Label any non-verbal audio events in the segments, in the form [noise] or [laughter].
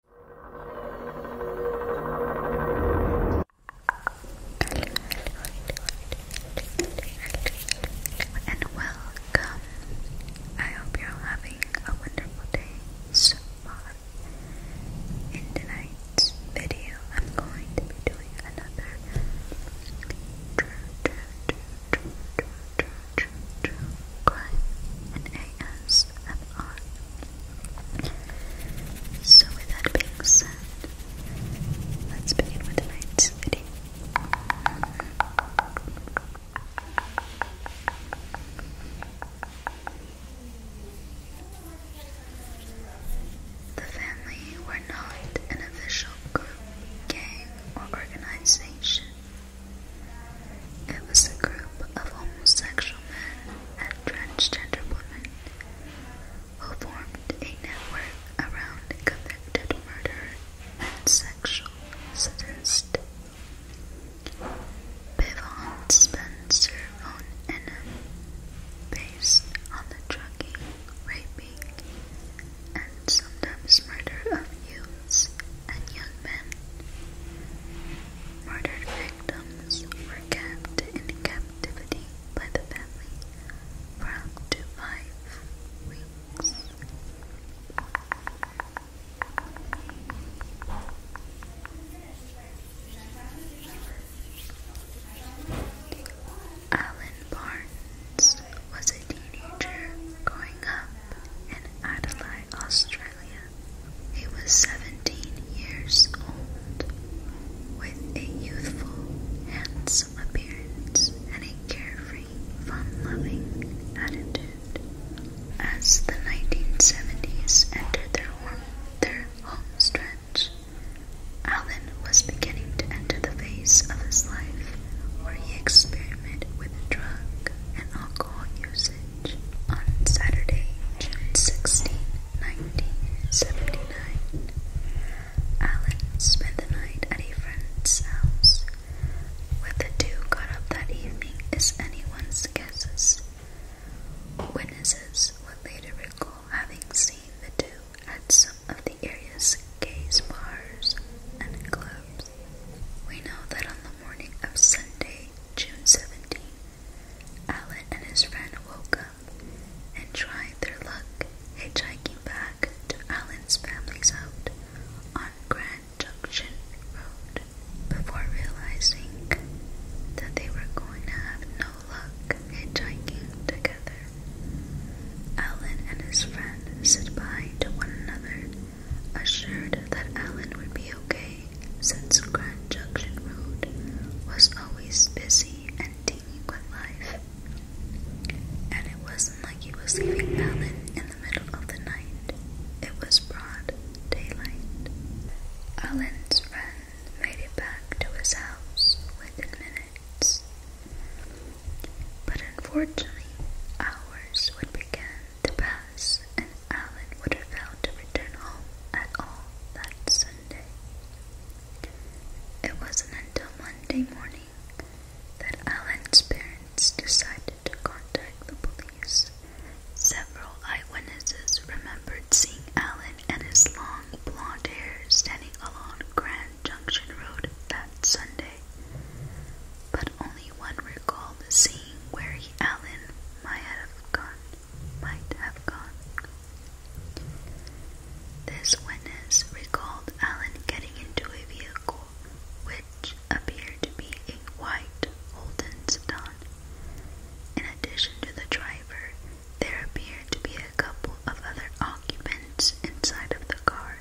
And welcome. I hope you're having a wonderful day so far. In tonight's video, I'm going to be doing another ASMR. So with that being said, let's begin with tonight's video. The family were not an official group, gang, or organization. It was a group of homosexual men and transgender women who formed a network around convicted murder and sexual sadist. Bivon Spencer von Enum, based on the drugging, raping, and sometimes murder of youths and young men, Murdered victims were kept in captivity by the family for up to five weeks. Alan Barnes was a teenager growing up in Adelaide, Australia. Australia. He was 17 years old, with a youthful, handsome appearance and a carefree, fun-loving attitude. As the 1970s entered their, warm, their home stretch, Allen was beginning to enter the phase of his life where he experimented with drug and alcohol usage on Saturday, June 16, 1979. Alan spent the night at a friend's house. Where the two got up that evening is anyone's guesses. Witnesses would later recall having seen the two at some of the area's gays bars and clubs. We know that on the morning of Sunday, June 17, Alan and his friend woke up and tried their luck hitchhiking back to Alan's family's out on Grand Junction Road before realizing that they were going to have no luck hitchhiking together. Alan and his friend said bye to one another assured that Alan would be okay since Grand Junction Road was always busy and teeming with life. And it wasn't like he was leaving Alan in the middle of the night. It was broad daylight. Alan's friend made it back to his house within minutes. But unfortunately, hours would begin to pass and Alan would have failed to return home at all that Sunday. It wasn't until Monday morning that Alan's parents decided to contact the police. Several eyewitnesses remembered seeing Alan and his long blonde hair standing along Grand Junction Road that Sunday, but only one recalled the scene where he, Alan, might have gone, might have gone. This witness recalled Alan getting into a vehicle which appeared to be a white Holden sedan. In addition to the driver, there appeared to be a couple of other occupants inside of the car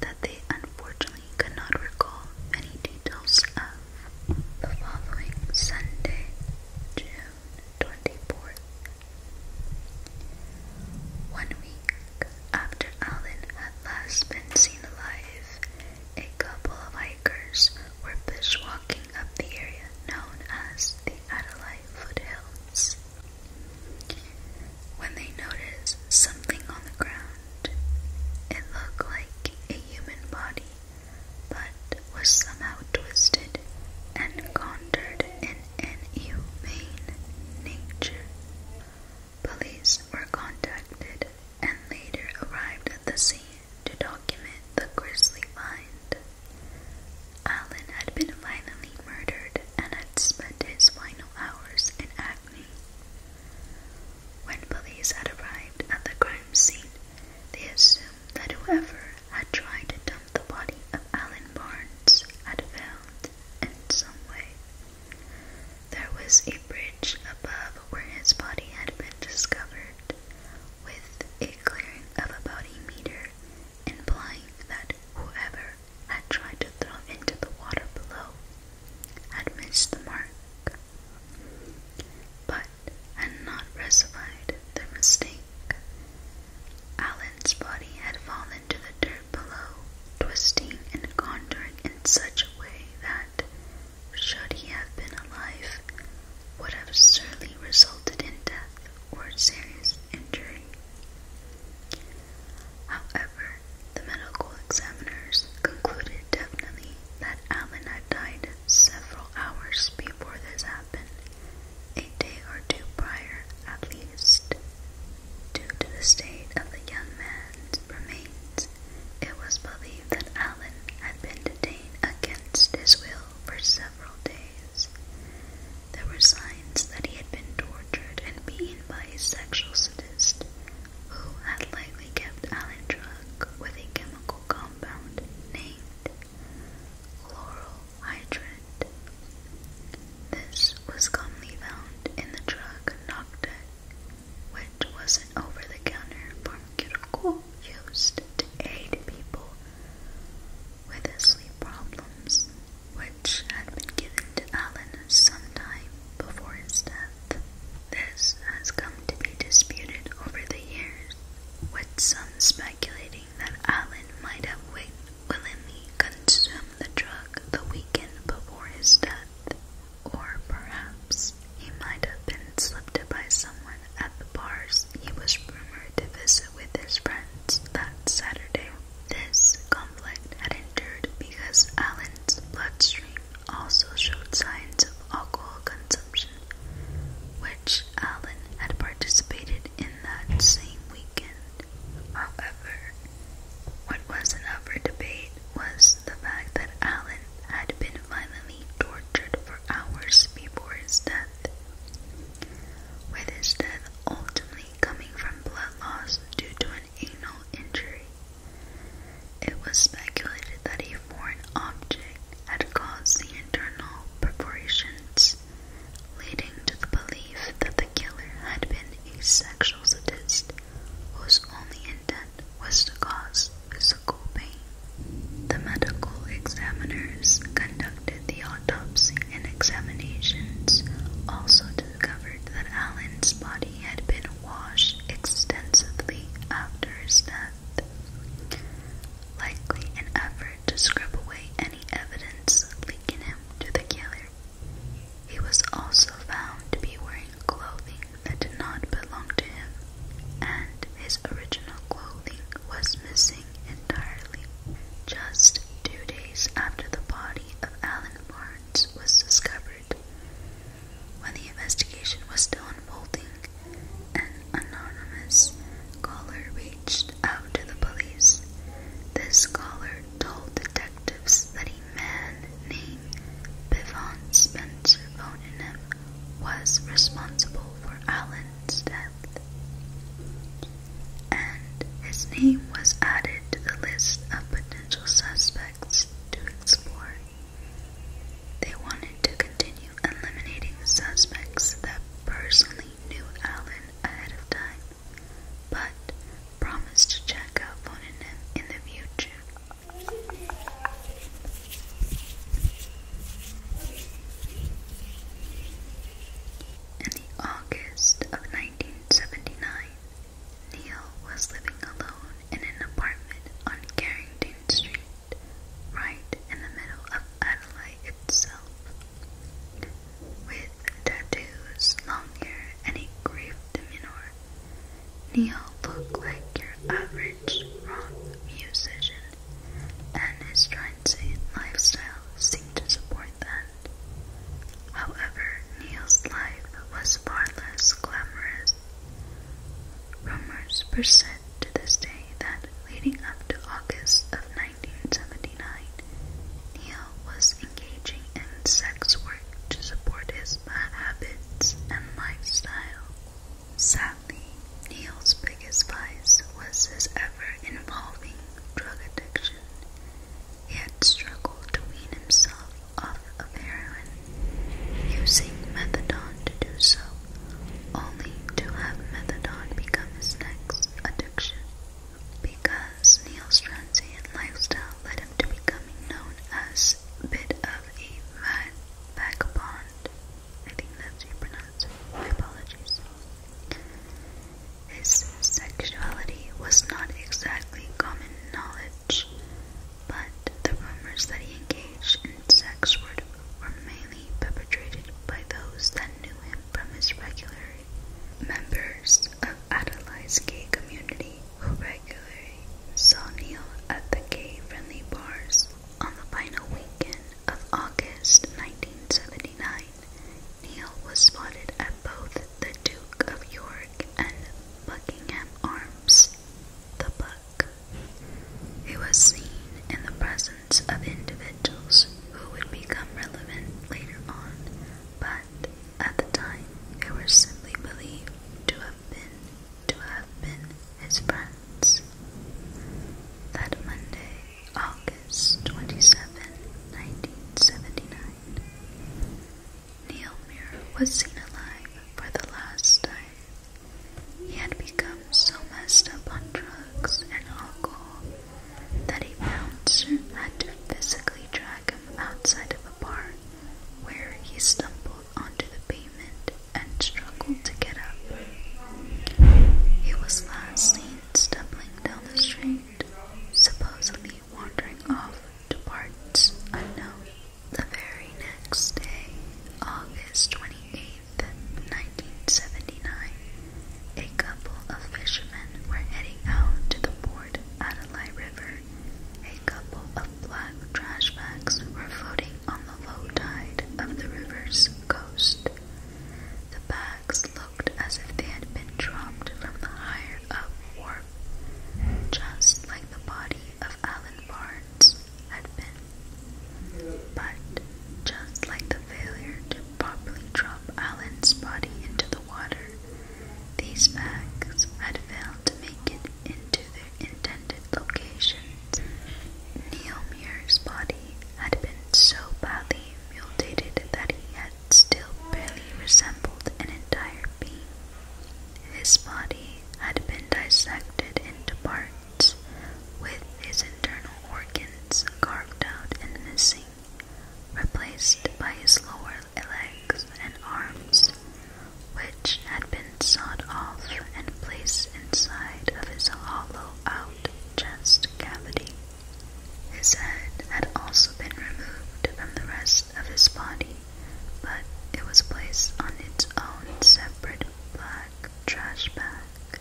that they unfortunately he could not recall many details of. The following Sunday, June 24th, one week after Allen had last been seen alive, a couple of hikers were bushwalking up the area known as the Adelaide Foothills. When they noticed something on the ground, it looked like a human body, but was somehow twisted and contoured in an inhumane nature. Police were contacted and later arrived at the scene to document the grisly find. Allen had been violently murdered and had spent his final hours in agony. When police had arrived at the crime scene, they assumed that whoever had tried to dump the body of Alan Barnes had failed in some way. There was a bridge above where his body had been discovered, with a clearing of about a meter, implying that whoever had tried to throw into the water below had missed the mark but had not rectified their mistake. Allen's body had fallen to the dirt below, twisting and contorting in such a way that, should he have been alive, would have surely resulted in death or serious injury. However, the medical examiners concluded knew definitely that Alan had died several hours before this happened, a day or two prior at least. Due to the state of the young man's remains, it was believed that Alan had been detained against his will for several days. There were signs that he had been tortured and beaten by a sexual sadist who had likely kept Alan drunk with a chemical compound named chloral hydrate. This was commonly found in the drug Noctec, which was an over-the-counter pharmaceutical used to aid people with sleep problems, which had been given to Alan sometime before his death. This has come to be disputed over the years, with some speculating that Allen might have willingly consumed the drug the weekend before his death, or perhaps he might have been slipped by someone at the bars he was rumored to visit with his friends that Saturday. This conflict had endured because Allen's bloodstream also showed signs of alcohol consumption, which Allen had participated in that same weekend. However, what was an upper debate was the fact that Allen had been violently tortured for hours before his death, with his death ultimately coming from blood loss due to anal injury. It was speculated that a foreign object had caused the internal perforations, leading to the belief that the killer had been a sexual sadist whose only intent was to cause physical pain. The medical examiners conducted the autopsy and examinations also discovered that Allen's body had been and extensively after his death, likely an effort to scrub away any evidence linking him to the killer. He was also found to be wearing clothing that did not belong to him, and his original clothing was missing entirely. Just two days after the body of Alan Barnes was discovered, when the investigation was still unfolding, an anonymous caller reached out to the police. This caller told detectives that a man named Bivon Spencer Boningham was responsible for Allen's death, and his name was added to the list of potential suspects to explore. They wanted to continue eliminating suspects that personally knew Allen ahead of time, but promised to check up on in the future. In the August of 1979, Neil was living alone in an apartment on Carrington Street, right in the middle of Adelaide itself. With tattoos, long hair, and a grave demeanor, Neil looked like your average rock musician, and his transient lifestyle seemed to support that. However, Neil's life was far less glamorous. Rumors persist to this day that leading up to August of 1979, Neil was engaging in sex work to support his bad habits and lifestyle. Sadly, Neil's biggest vice was his ever-involving drug addiction. He had struggled to wean himself off of heroin, using methadone to do so, only to have methadone become his next addiction. Because Neil's transient lifestyle led him to becoming known as bit of a mad vagabond. I think that's how you pronounce it. My apologies. His sexuality was not exactly common knowledge marriage, but the rumors that he engaged in sex were, were mainly perpetrated by those that knew him from his regular members of Adelaide's gay community who regularly saw Neil at the gay-friendly bars. On the final weekend of August 1979, Neil was spotted at both the Duke of York and Buckingham Arms, the Buck. He was seen in the presence of individuals who would become relevant later on, but at the time they were simply believed to have been to have been his friends. That Monday, August 27, 1979, Neil Muir was seen alive for the last time. He had become so messed up on drugs and alcohol that a bouncer had to physically drag him outside of a bar where he stumbled onto the pavement and struggled to get up. He was last seen stumbling down the street, supposedly wandering off to parts unknown. The very next day, August 28th, 1979, a couple of fishermen were heading out to the Port Adelaide River. A couple of black trash bags were floating on the low tide of the river's coast. The bags looked as if they had been dropped from the higher up wharf just like the body of Alan Barnes had been. But just like the failure to properly drop Alan's body into the water, these bags had failed to make it into their intended locations. Neil Muir's body had been so badly mutilated that he had still barely resembled an entire being. His body had been dissected into parts, with his internal organs carved out and missing, replaced by his lower legs and arms, which had been sawed off and placed inside of his hollow out chest cavity. His head had also been removed from the rest of his body, but it was placed on its own separate black trash bag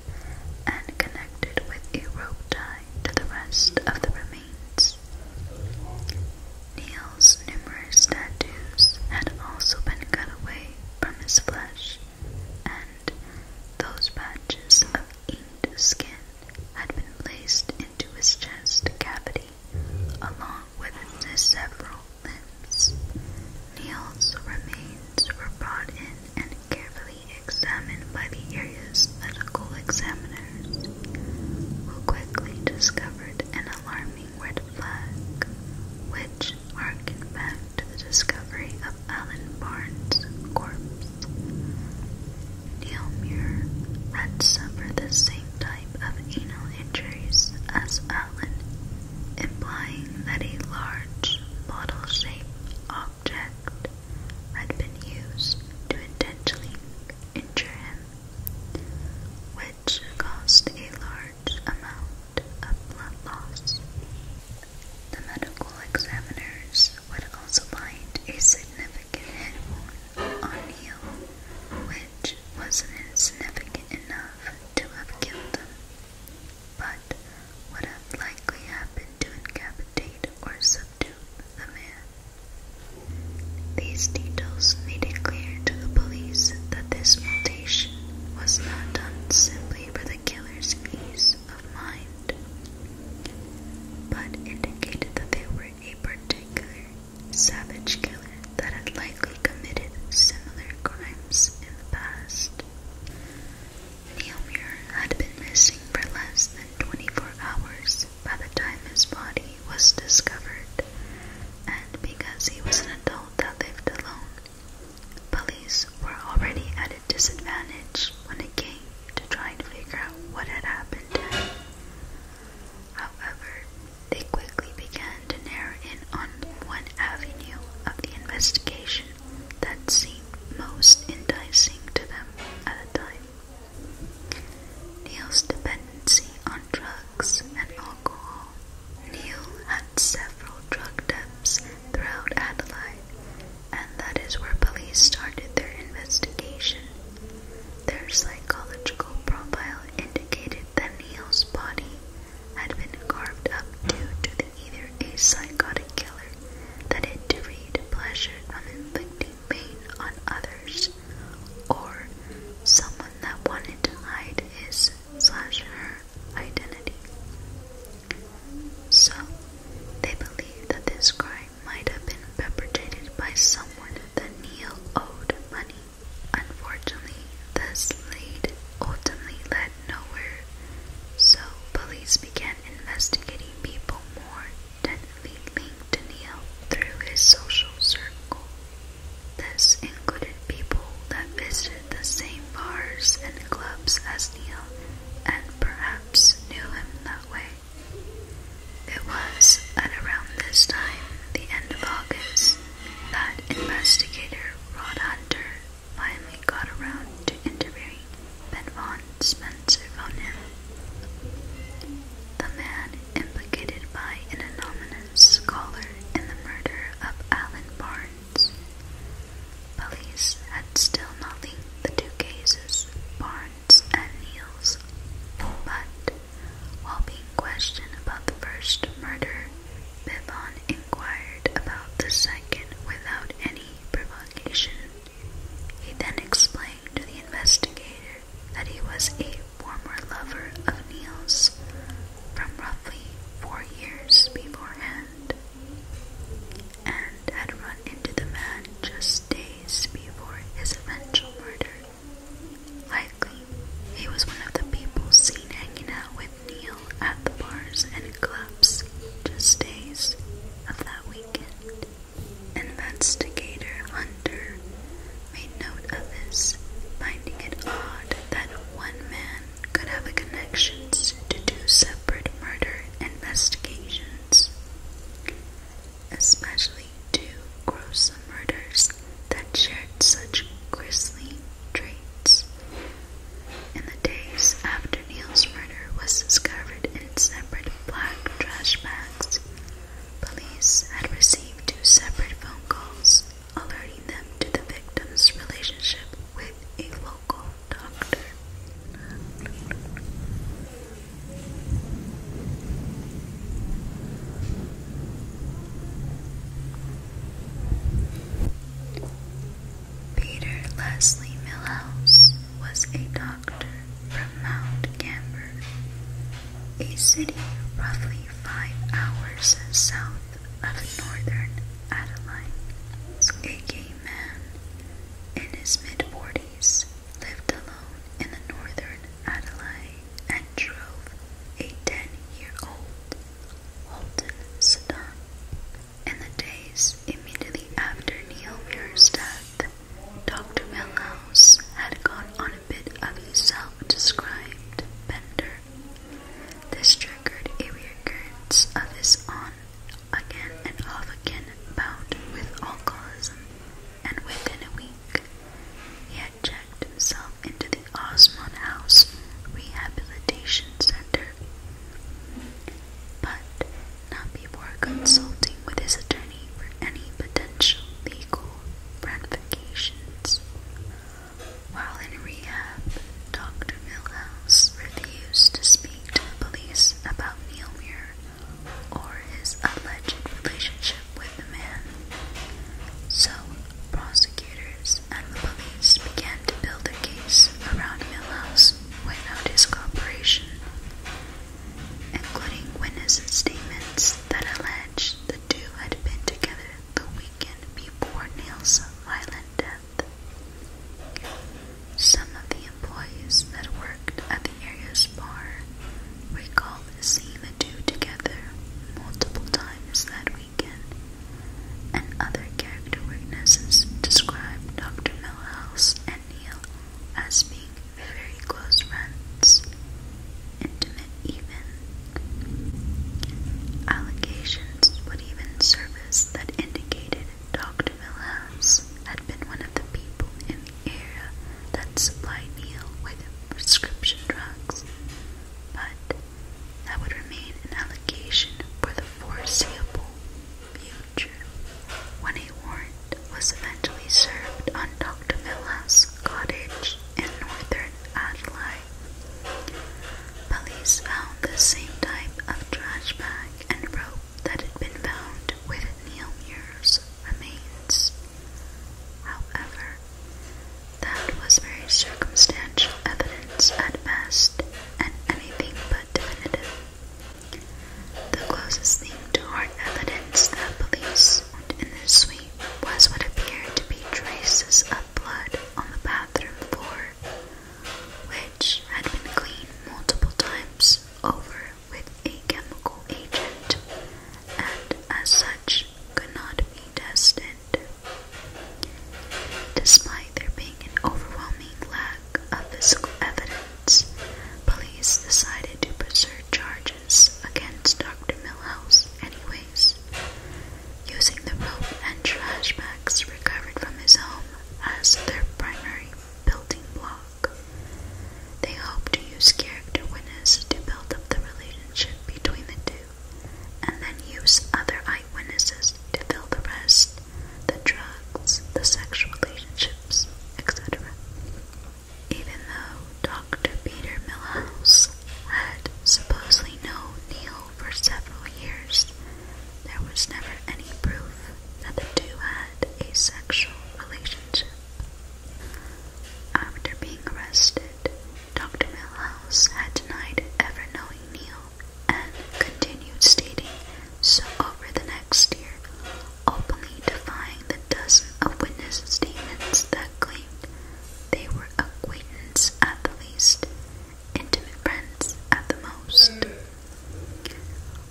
and connected with a rope tie to the rest of the remains. Neil's numerous tattoos had also been cut away from his flesh, and those patches of inked skin had been placed into his chest cavity along with the several limbs. Neil's remains were brought in and carefully examined by the area's medical examiners, who quickly discovered an alarming red flag, which harkened back to the discovery of Alan Barnes' corpse. Neilmuir had suffered the same type of anal injuries as Allen, implying that a large bottle-shaped object had been used to intentionally injure him, which caused a large amount of blood loss. The medical examiners would also find a significant head wound on you, which wasn't insignificant enough to have killed him, but would have likely happened to incapacitate or subdue the man. These details made it clear to the police that this mutation was not done simply for the killer's ease of mind, but indicated that they were a particular savage killer that had likely committed similar crimes in the past. Neil Muir had been missing for less than 24 hours by the time his body was discovered, and because he was an adult that lived alone, police were already at a disadvantage when it came to trying to figure out what had happened to him. However, they quickly began to narrow in on one avenue of the investigation that seemed most enticing to them at the time. Neil's dependency on drugs and alcohol. Neil had several drug debts throughout Adelaide, and that is where police started their investigation their psychological profile indicated that Neil's body had been carved up due to either a psychotic killer that had derived pleasure from inflicting pain on others, or someone that wanted to hide his slash her identity. So, they believe that this crime might have been perpetrated by someone that Neil owed money. Unfortunately, this lead ultimately led nowhere, so police began investigating people more definitely linked to Neil through his social circle. This included people that visited the same bars and clubs as Neil and perhaps knew him that way. It was at around this time, the end of August, that investigator Rod Hunter finally got around to interviewing Ben Spencer Vaughn. The man implicated by an anonymous scholar in the murder of Alan Barnes. Police had still not linked the two cases. Barnes horns and kneels. But, while being questioned about the first murder, Bibon inquired about the second without any provocation. He then explained to the investigator that he was a former lover of Niels from roughly four years beforehand and had run into the man just days before his eventual murder. Likely, he was one of the people seen hanging out with Neil at the bars and clubs just days of that weekend. Investigator Hunter made note of this, finding it odd that one man could have connections to two separate murder investigations especially two gruesome murders that shared such grisly traits. In the days after Neil's murder was discovered in separate black trash bags, police had received two separate phone calls alerting them to the victim's relationship with a local doctor. Peter Leslie Millhouse was a doctor from Mount Gambier, a city roughly five hours south of northern Adelaide. A gay man in his mid-40s lived alone in the northern Adelaide and drove a 10-year-old Holden sedan. In the days immediately after Neil Muir's death, Dr. Milhouse had gone on a bit of a self-described bender. This triggered a recurrence of his on again and off again bout with alcoholism, and within a week he had checked himself into the Osmond House Rehabilitation Center. But not before consulting with his attorney for any potential legal ramifications. While in rehab, Dr. Millhouse refused to speak to the police about Neil Muir or his alleged relationship with the man. So, prosecutors and the police began to build a case around Millhouse without his cooperation, including witness statements that alleged the two had been together the weekend before Neil's violent death. Some of the employees that worked at the area's bar recalled seeing the two together multiple times that weekend, and other character witnesses described Dr. Millhouse and Neil as being very close friends, intimate even. Allegations would even surface that indicated Dr. Wilhelms had been one of the people in the area that supplied Neil with prescription drugs, but that would remain an allegation for the foreseeable future when a warrant was eventually served on Dr. Wilhelms' cottage in northern Adelaide. Police found the same type of trash bag and rope that had been found with Neilmuir's remains. However, that was very circumstantial evidence at best, and anything but definitive. The closest thing to hard evidence that police found in this suite was what appeared to be traces of blood on the bathroom floor, which had been cleaned multiple times over with a chemical agent and, as such, could be tested. Despite there being an overwhelming lack of physical evidence, police decided to pursue charges against Dr. Millhouse anyways, using the rope and trash bags recovered from his home as their primary building block dialogue. They hope to use character witnesses to build up the relationship between the two, and then use other eyewitnesses to fill the rest the drugs, the sexual relationships, etc. Even though Dr. Peter Millhouse had supposedly known Neil for several years, there was never any proof that the two had a sexual relationship. After being arrested, Dr. Milhouse had denied ever knowing Neil and continued stating so over the next year, openly defying the dozen of witness statements that claimed they were acquaintance at the least, intimate friends at the most.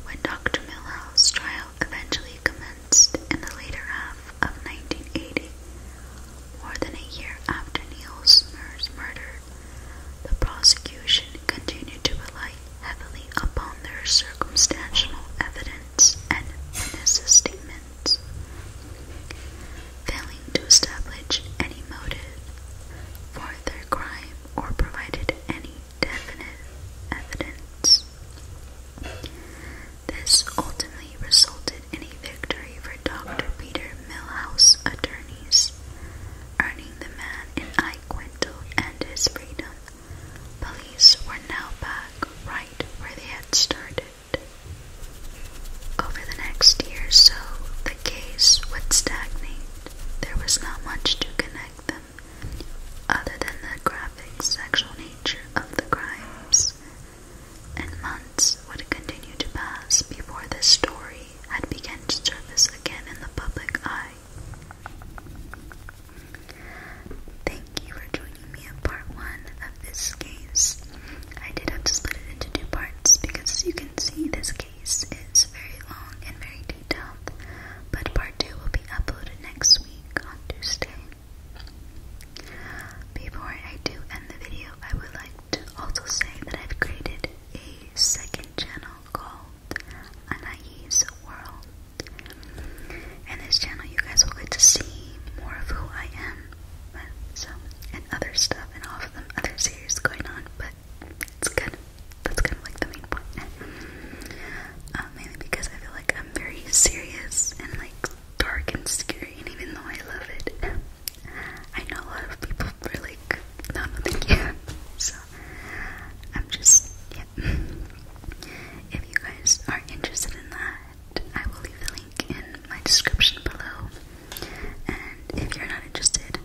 When Dr. Milhouse's trial eventually commenced in the later half of 1980, more than a year after Neil Smur's murder, the prosecution continued to rely heavily upon their circumstantial evidence and witnesses' statements, failing to establish any motive for their crime or provided any definite evidence. This ultimately resulted in a victory for Dr. Peter Millhouse attorneys, earning the man in I and his freedom. Police were now back right where they had started. Over the next year so, the case would stagnate. There was not much to connect other than the graphic sexual nature of the crimes. And months would continue to pass before this story had begun to surface again in the public eye. Thank you for joining me in part one of this case. I did have to split it into two parts because you can see this case is very long and very detailed, but part 2 will be uploaded next week on Tuesday. Before I do end the video, I would like to also say that I've created a second channel called Anais World. In this channel, you guys will get to see more of who I am, so, and other stuff, and all of the other series going on. But it's kind of that's kind of like the main point. Uh, mainly because I feel like I'm very serious and like dark and scary, and even though I love it, I know a lot of people are like, no, no, thank [laughs] So I'm just yeah. If you guys are interested in that, I will leave the link in my description below. And if you're not interested,